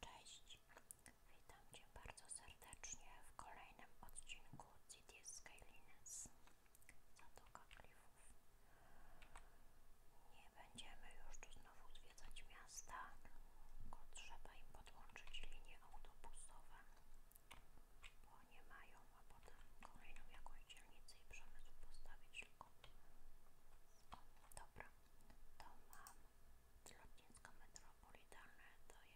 Cześć, witam Cię bardzo serdecznie w kolejnym odcinku Cities Skylines Zatoka Klifów. Nie będziemy już tu znowu odwiedzać miasta, tylko trzeba im podłączyć linie autobusowe, bo nie mają, a potem kolejną jakąś dzielnicę i przemysł postawić tylko skąd Dobra, to mam lotnisko metropolitalne, to jest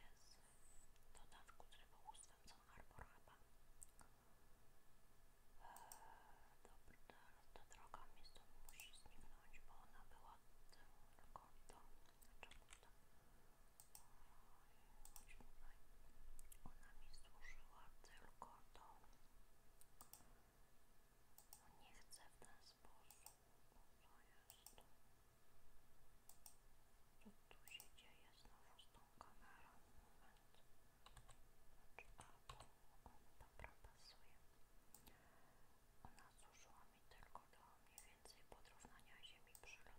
w dodatku z rybołówstwem co Harbor chyba. Eee, dobra, teraz ta droga mi stąd musi zniknąć, bo ona była tylko do... Czemu to? Chodźmy tutaj. Ona mi służyła tylko do... No nie chcę w ten sposób. No co jest? Co tu się dzieje znowu z tą kamerą? Moment. Znaczy, a to, on dobra pasuje. Ona służyła mi tylko do mniej więcej porównania ziemi przylotnym w całym lotnisku metropolitalnym.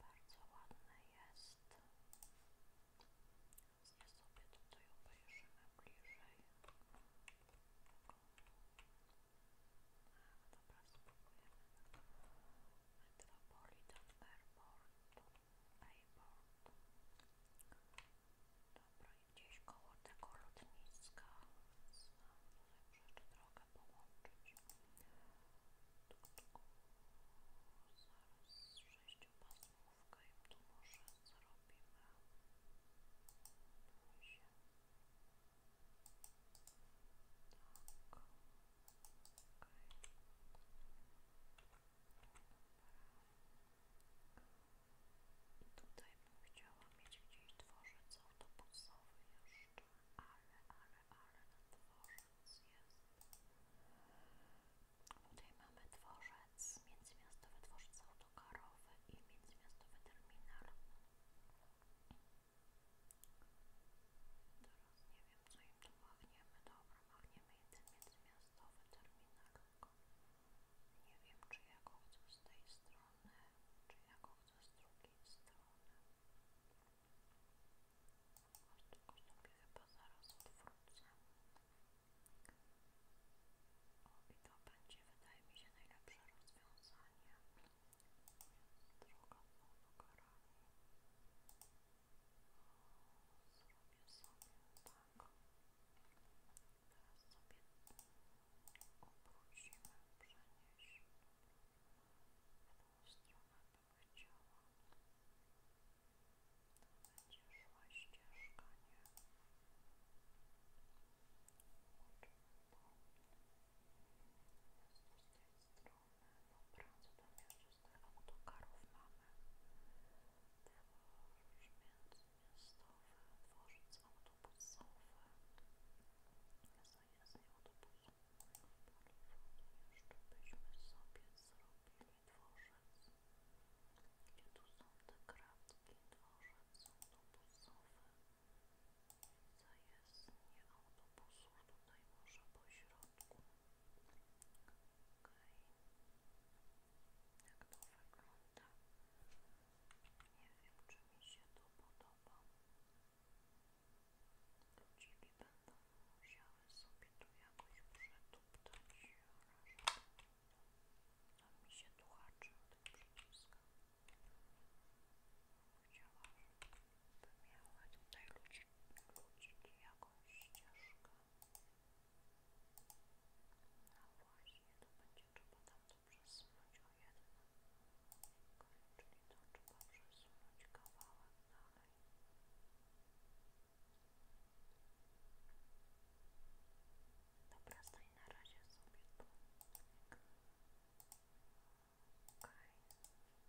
Bardzo ładne jest. Ja sobie tutaj obejrzymy bliżej. A, dobra, spróbujemy. Metropolitan Airport. Airport. Dobra, i gdzieś koło tego lotniska. Znam tutaj przed drogę troszeczkę połączyć. Zaraz z i tu może zrobimy się. Tak. Okay. Dobra. Chciałam mieć gdzieś dworzec autobusowy jeszcze, ale, ale, ale na dworzec jest. Tutaj mamy dworzec, międzymiastowy dworzec autokarowy i międzymiastowy terminal. Teraz nie wiem co im tu machniemy. Dobra, machniemy jeden międzymiastowy terminal. Nie wiem czy ja go chcę z tej strony, czy ja wychodzę z drugiej strony. Choć tylko sobie chyba zaraz odwrócę. i to będzie, wydaje mi się, najlepsze rozwiązanie. Droga pod karami. Zrobię sobie tak. Teraz sobie obrócimy, przenieśmy w tą stronę bym chciała to będzie szła ścieżka, nie? Łączymy to jest tu z tej strony dobra, co tam jeszcze z tych autokarów mamy? Dworz międzymiastowy dworzec autobusowy. Zajazd autobusowy w Kalifornii. Jeszcze byśmy sobie zrobili dworzec. I tu są te kratki. Dworzec autobusowy. Zajezdnie autobusów tutaj może po środku. Okej. Okay. Jak to wygląda? Nie wiem, czy mi się to podoba. Ludziki będą musiały sobie tu jakoś przetuptać rażę. Tam mi się tuchaczy o tego przyciska. Chciałam, żeby miały tutaj ludzi, ludziki jakąś ścieżkę. No właśnie, to będzie trzeba tam to przesunąć o jedną czyli to trzeba przesunąć kawałek dalej dobra, stań na razie sobie tu ok ok, to by było tak nie wiem, czy ten kawałek autobusowych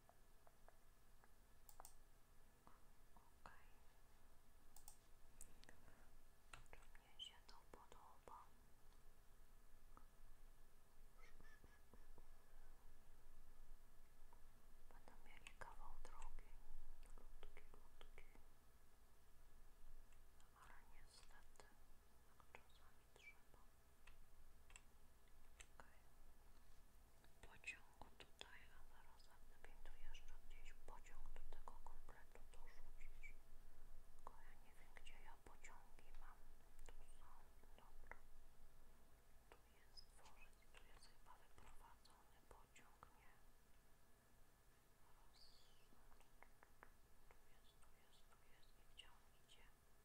Czy mnie się to podoba? Będą mieli kawał drogi, krótki, krótki. Ale niestety, tak czasami trzeba. Pociągu tutaj, a zaraz jak gdyby tu jeszcze gdzieś pociąg do tego kompletu dorzucić. Tylko ja nie wiem gdzie ja pociągi mam. Tu są, dobra. Tu jest dworzec, tu jest chyba wyprowadzony pociąg, nie? Raz. Tu jest, tu jest, tu A,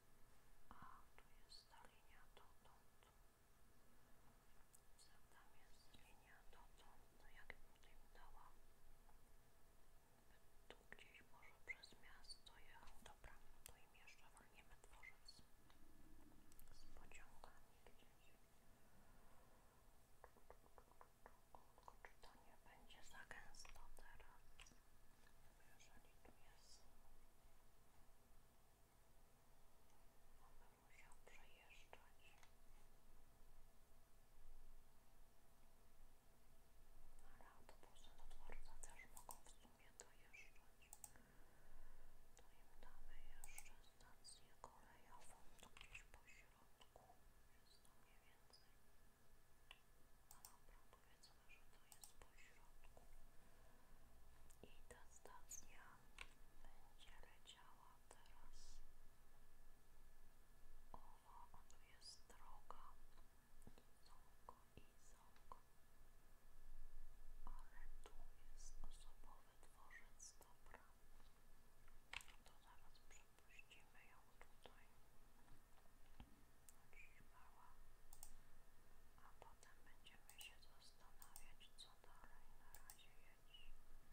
tu jest ta linia dotąd. Co tam jest linia dotąd? No jakbym tutaj dała? Tu gdzieś może przez miasto jechał. Dobra, to im jeszcze walniemy dworzec z pociągami gdzieś. Tylko czy to nie będzie za gęsto teraz? Jeżeli tu jest ona musiał przejeżdżać ale autobusy do dworca też mogą w sumie dojeżdżać to im damy jeszcze stację kolejową tu gdzieś po środku jest to mniej więcej powiedzmy, że to jest po i ta stacja będzie leciała teraz owa, a tu jest droga i Izonko ale tu jest osobowy dworzec, dobra to zaraz przepuścimy ją tutaj otrzymała, a potem będziemy się zastanawiać co dalej. Na razie jedź, jedź,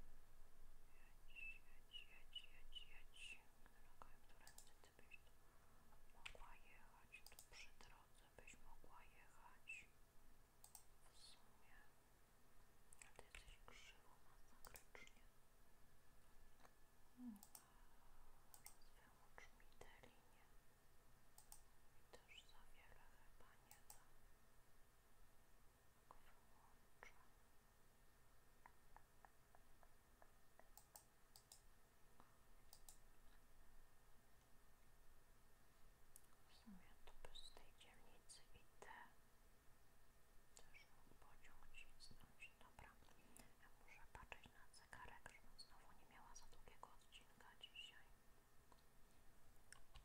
jedź, jedź, jedź, jedź. Którędy ty byś tu mogła jechać, tu przy drodze byś mogła jechać. W sumie, a ty jesteś krzywo, masakrycznie. Hmm. Wyłącz mi tę I też za wiele chyba nie W sumie to z tej dzielnicy i te też mógł pociąg cisnąć. Dobra, ja muszę patrzeć spojrzeć na zegarek, żebym nie miała za długiego odcinka dzisiaj. Powiadamy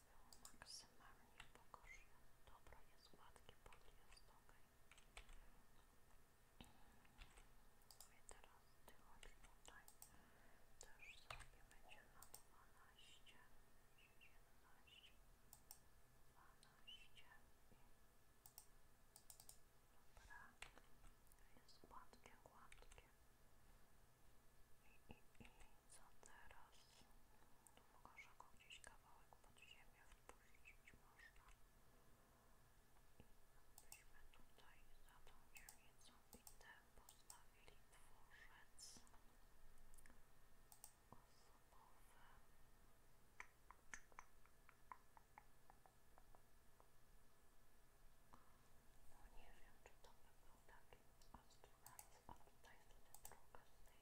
wezmę maksymalnie pogorzę. Dobra, jest gładki, pod jest ok. No I teraz ty chodź tutaj. Też sobie będzie na 12, 11, 12 Dobra, jest gładkie, gładkie. I, i, i co teraz? Może go gdzieś kawałek pod ziemię wpuścić można. Myśmy tutaj za to tą dzielnicą bitę postawili dworzec osobowy. No nie wiem, czy to by był taki ostrolec, a tutaj jest wtedy druga z tej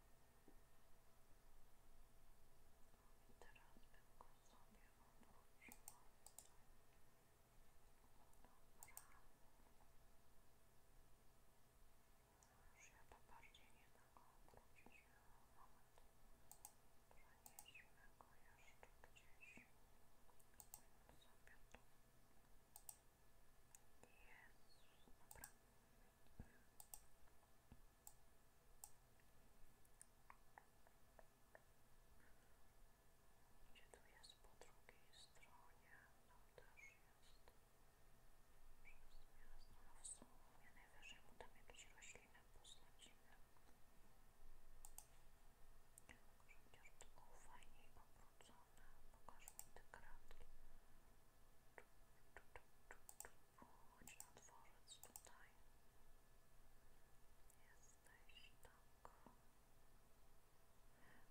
I teraz bym go sobie odłożyła. Dobra. Już ja to bardziej nie tak obrócić. Moment. Przenieśmy go jeszcze gdzieś. Sobie tu. Jezus, dobra. Gdzie tu jest po drugiej stronie? Tam no, też jest przez miasto. No w sumie najwyżej mu tam jakieś rośliny posadzimy. Chociaż to było fajniej obrócone. Pokaż mi te kratki. Chodź na dworzec tutaj. Jesteś tam Tak. I teraz tyle byś było. Blisko nie możesz być, ok? Czyli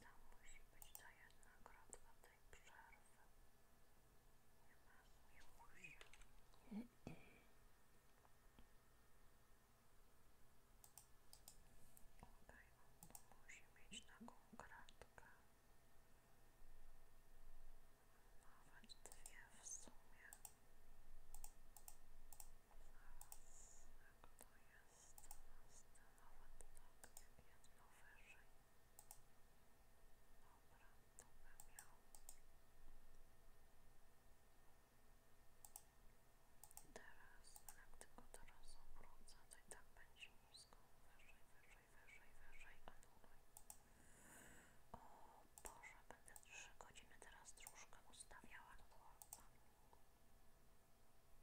tam musi być ta jedna kropka tej przerwy. Nie masz już. Okej, okay, on musi mieć taką kratkę. Nawet dwie w sumie. Zaraz, jak to jest? Nawet tak, jak jedno wyżej. Dobra, to bym miał. Teraz, jak tylko teraz obrócę, to i tak będzie nisko. Wyżej, wyżej, wyżej, wyżej, a dłużej. O Boże, będę 3 godziny teraz troszkę ustawiała, no to ładna.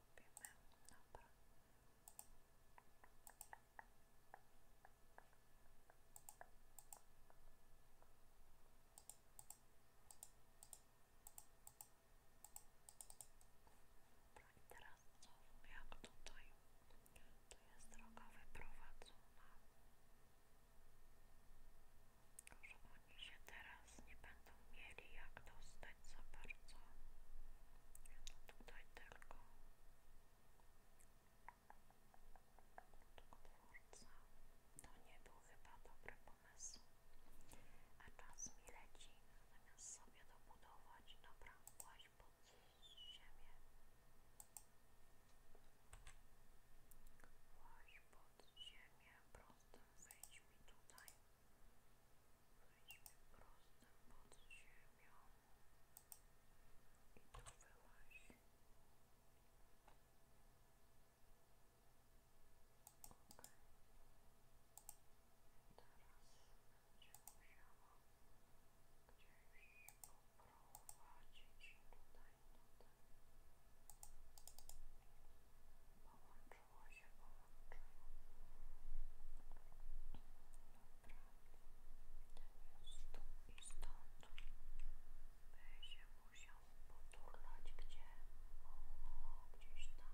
robimy. teraz co? Jak tutaj? Tu jest droga wyprowadzona. Tylko, że oni się teraz nie będą mieli jak dostać widać za bardzo. No tutaj tylko. Twórca. To nie był chyba dobry pomysł. A czas mi leci, zamiast sobie dobudować. Dobra, kłaść pod ziemię. Kłaść pod ziemię. Prostym wejdź mi tutaj prosto pod ziemią i tu wyłaź ok teraz będzie musiała gdzieś poprowadzić tutaj no ten połączenie połączyło się, połączyło. Dobra, ten jest tu i stąd by się musiał poturlać gdzie? O, gdzieś tam,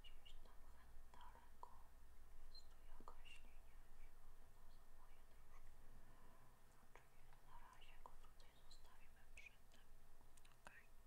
gdzieś tam daleko jest tu jakaś linia, nie moje dróżki. Czyli na razie go tutaj zostawimy przy tym, okej. Okay.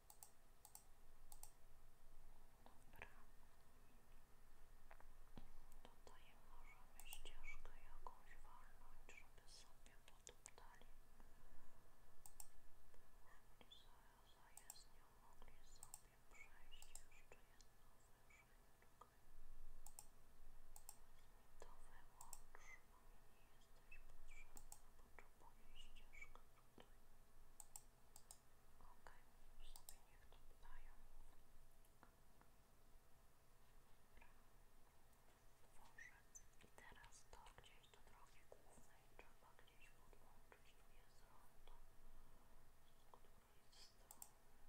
Dobra. Tutaj możemy ścieżkę jakąś walnąć, żeby sobie poduptali. Mogli sobie z nią mogli sobie przejść jeszcze jedno wyżej. Czekaj. To wyłącz jesteś potrzebna, potrzebuję ścieżkę tutaj. Okej, okay, sobie niech to dają. Wążec. I teraz to gdzieś do drogi głównej trzeba gdzieś podłączyć. Tu jest rondo. Z której strony jest jaka? Obrzeże.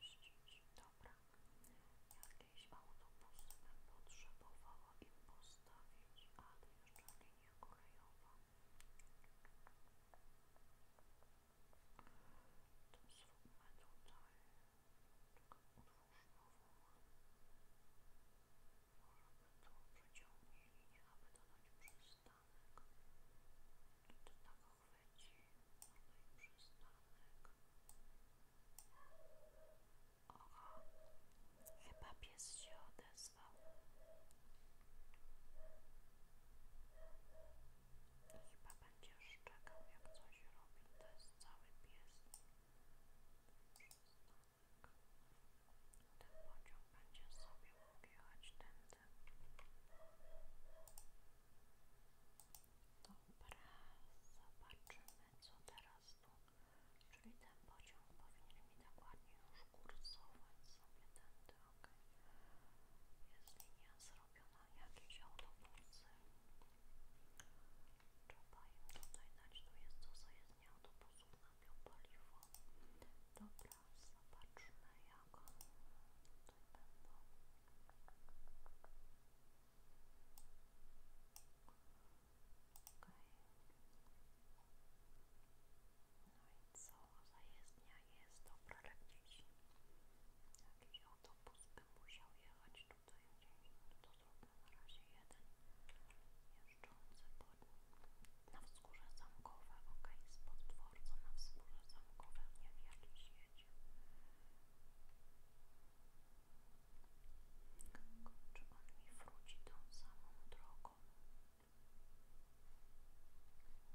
sobie Dobra, jakieś autobusy bym potrzebowała im postawić, a to jeszcze linia kolejowa. To zróbmy tutaj taką utwórzniową. Może by to przeciągnij linię, aby dodać przystanek to tak chwyci, przystanek. Oho, chyba pies się odezwał. Chyba będzie szczekał, jak coś robi. To jest cały pies. Przystanek. Ten pociąg będzie sobie mógł ten. tędy. Dobra, zobaczymy co teraz tu. Czyli ten pociąg powinien mi dokładnie już kursować sobie tędy, ok. Jest linia zrobiona, jakieś autobusy. Trzeba im tutaj dać, tu jest to zajezdnia autobusów na biopaliwo. Dobra, zobaczmy jak no i co za jezdnia jest dobra dla dzieci? Jakiś autobus by musiał jechać tutaj gdzieś, no to zróbmy na razie jeden jeżdżący pod, na wschód wzgórze zamkowe, ok, spod dworca na wzgórze zamkowe, nie w Czy on mi wróci tą samą drogą? Zrobimy tutaj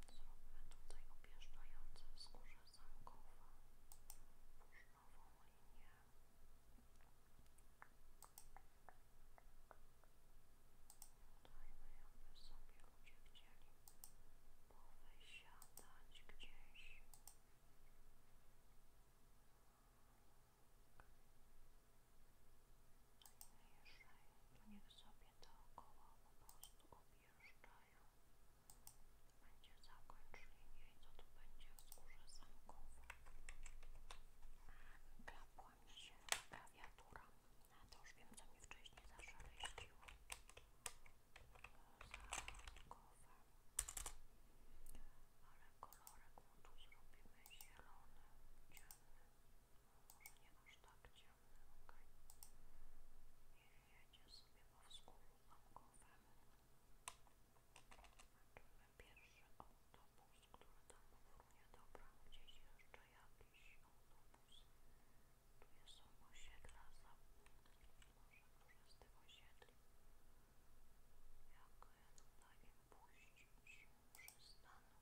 objeżdżające wzgórze zamkowe, włóż nową linię. Dajmy, aby sobie ludzie chcieli powysiadać gdzieś. Najwyżej, to niech sobie dookoła po prostu objeżdżają. Będzie zakończ linię i co tu będzie wzgórze zamkowe. Klapła mi się klawiatura. A to już wiem, co mi wcześniej zaszeleściło. Zarodkowe. Ale kolorek mu tu zrobimy zielony, ciemny. Może nie aż tak ciemny, ok. Niech jedzie sobie po wskórzu zamkowym. Zobaczymy pierwszy autobus, który tam równie dobra. Gdzieś jeszcze jakiś autobus. Tu są osiedla za... może, może z tych osiedli jak je tutaj puścić przystanki dobra, nad przystankami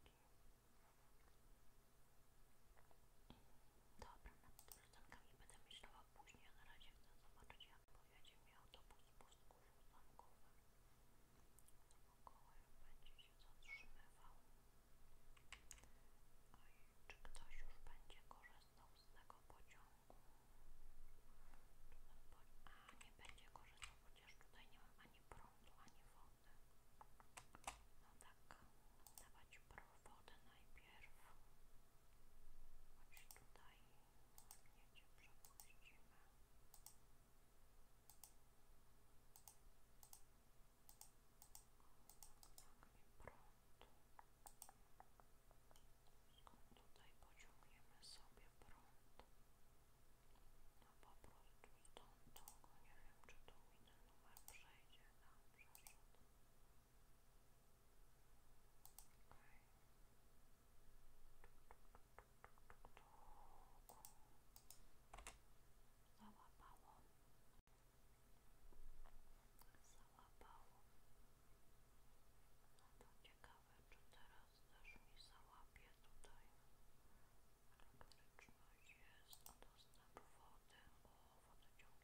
będę myślała później, na razie chcę zobaczyć jak pojedzie mi autobus z pustku przystankowym się zatrzymywał. Oj, czy ktoś już będzie korzystał z tego pociągu? A, nie będzie korzystał, chociaż tutaj nie mam ani prądu, ani wody. No tak, dawać wodę najpierw. Chodź tutaj, ładnie Cię przepuścimy. Skąd tutaj pociągniemy sobie prąd? No po prostu stąd tylko nie wiem, czy tu mi ten numer przejdzie. No, przeszedł. Okej. Okay. Załapało załapało. No to ciekawe, czy teraz też mi załapie tutaj elektryczność jest, o dostęp wody, o wodociągi są.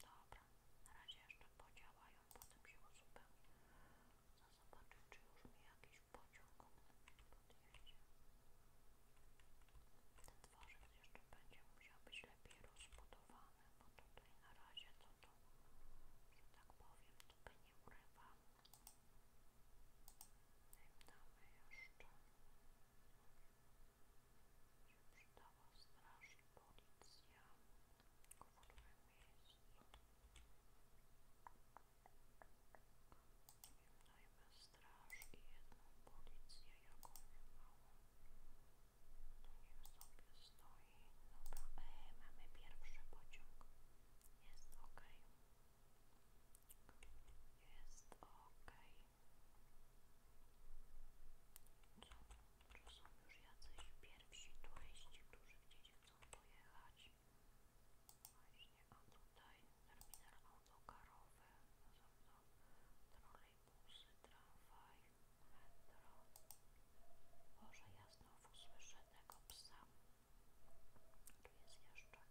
dobra, na razie jeszcze podziałają, potem się uzupełnią. Za zobaczyć, czy już mi jakiś pociąg ten dworzec jeszcze będzie musiał być lepiej rozbudowany, bo tutaj na razie to tu, że tak powiem, to by nie urywa. Im damy jeszcze. Się przydała straż i policja w którym miejscu. Im dajmy straż i jedną policję, jaką małą. To niech sobie stoi. Dobra, e, mamy pierwszy pociąg. Jest ok. Jest ok. Co? Czy są już jacyś pierwsi turyści, którzy gdzieś chcą pojechać? Właśnie, a tutaj terminal autokarowy. No, no, trolejbusy, tramwaj, metro. Boże, ja znowu słyszę tego psa. Tu jest jeszcze,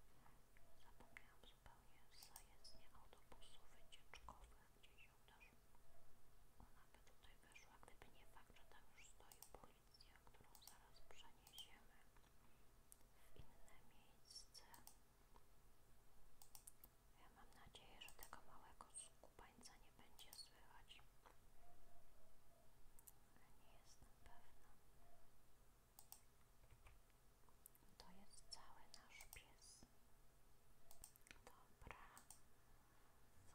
zapomniałam zupełnie, zajezdnie autobusów wycieczkowych, gdzie się też ona by tutaj wyszła, gdyby nie fakt, że tam już stoi policja, którą zaraz przeniesiemy w inne miejsce mam nadzieję, że tego małego skubańca nie będzie słychać. Ale nie jestem pewna. To jest cały nasz pies. Dobra.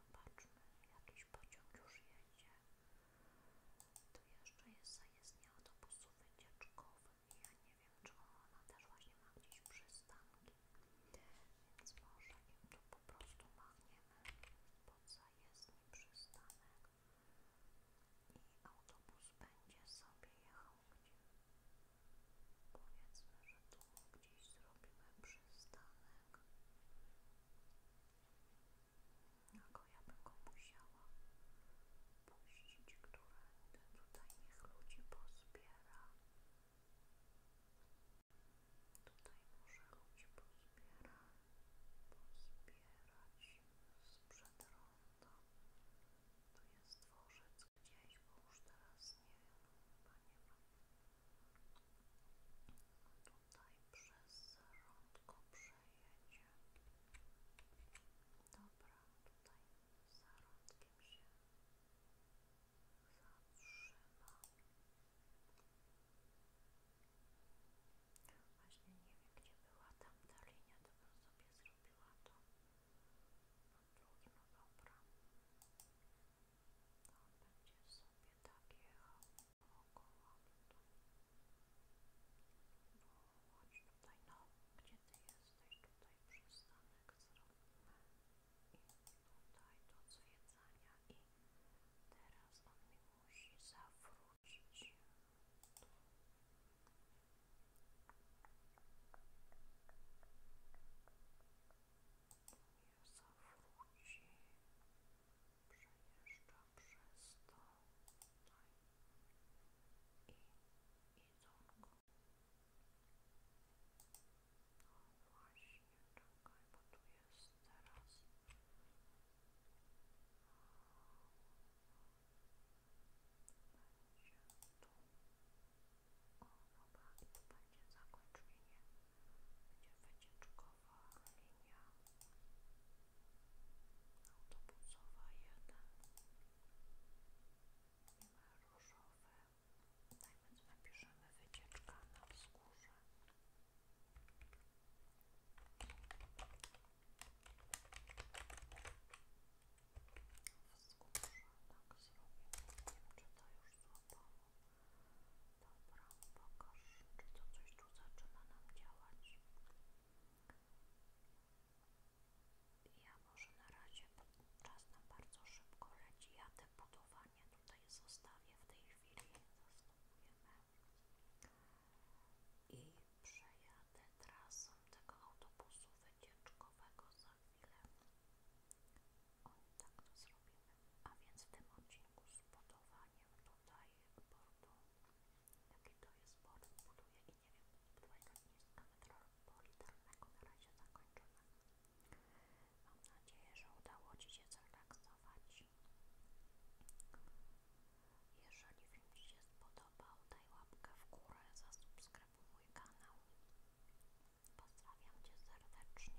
Zobaczmy. Jakiś pociąg już jedzie. Tu jeszcze jest zajezdnia autobusu wycieczkowa. Ja nie wiem, czy ona też właśnie ma gdzieś przystanki, więc może ją tu po prostu machniemy pod zajezdni przystanek i autobus będzie sobie jechał gdzie. Powiedzmy, że tu gdzieś zrobimy przystanek ja bym go musiała puścić, które tutaj niech ludzi pozbiera. Tutaj może ludzi pozbiera, pozbierać sprzed ronda. Tu jest dworzec gdzieś, bo już teraz nie wiem, chyba nie ma. Tutaj przez rądko przejedzie. Dobra, tutaj zarądkiem się zatrzyma. Właśnie nie wiem, gdzie była tamta linia, to bym sobie zrobiła to pod drugim, no dobra. To będzie sobie tak jechał około tu. No, chodź tutaj, no, gdzie ty jesteś? Tutaj przystanek zrobimy i tutaj do zwiedzania i teraz on mi musi zawrócić. Nie zawróci. Przejeżdża przez to. time it is on call. Właśnie czekaj, bo tu jest teraz. Będzie tu. O, dobra, i tu będzie zakończenie. Będzie wycieczkowa linia. autobusowa jeden różowe tak więc napiszemy wycieczka na wzgórze wzgórze, tak zrobimy nie wiem czy to już złapało dobra, pokaż czy to coś tu zaczyna nam działać ja może na razie, bo czas bardzo szybko leci. Ja te budowanie tutaj zostawię w tej chwili. Zastopujemy. I przejadę trasą tego autobusu wycieczkowego za chwilę. O, tak to zrobimy. A więc w tym odcinku z budowaniem tutaj portu Jaki to jest port buduje i nie wiem, twojego niska metropolitalnego na razie zakończone. Mam nadzieję, że udało Ci się zrelaksować. Jeżeli film Ci się spodobał, daj łapkę w górę, zasubskrybuj mój kanał. Pozdrawiam Cię serdecznie.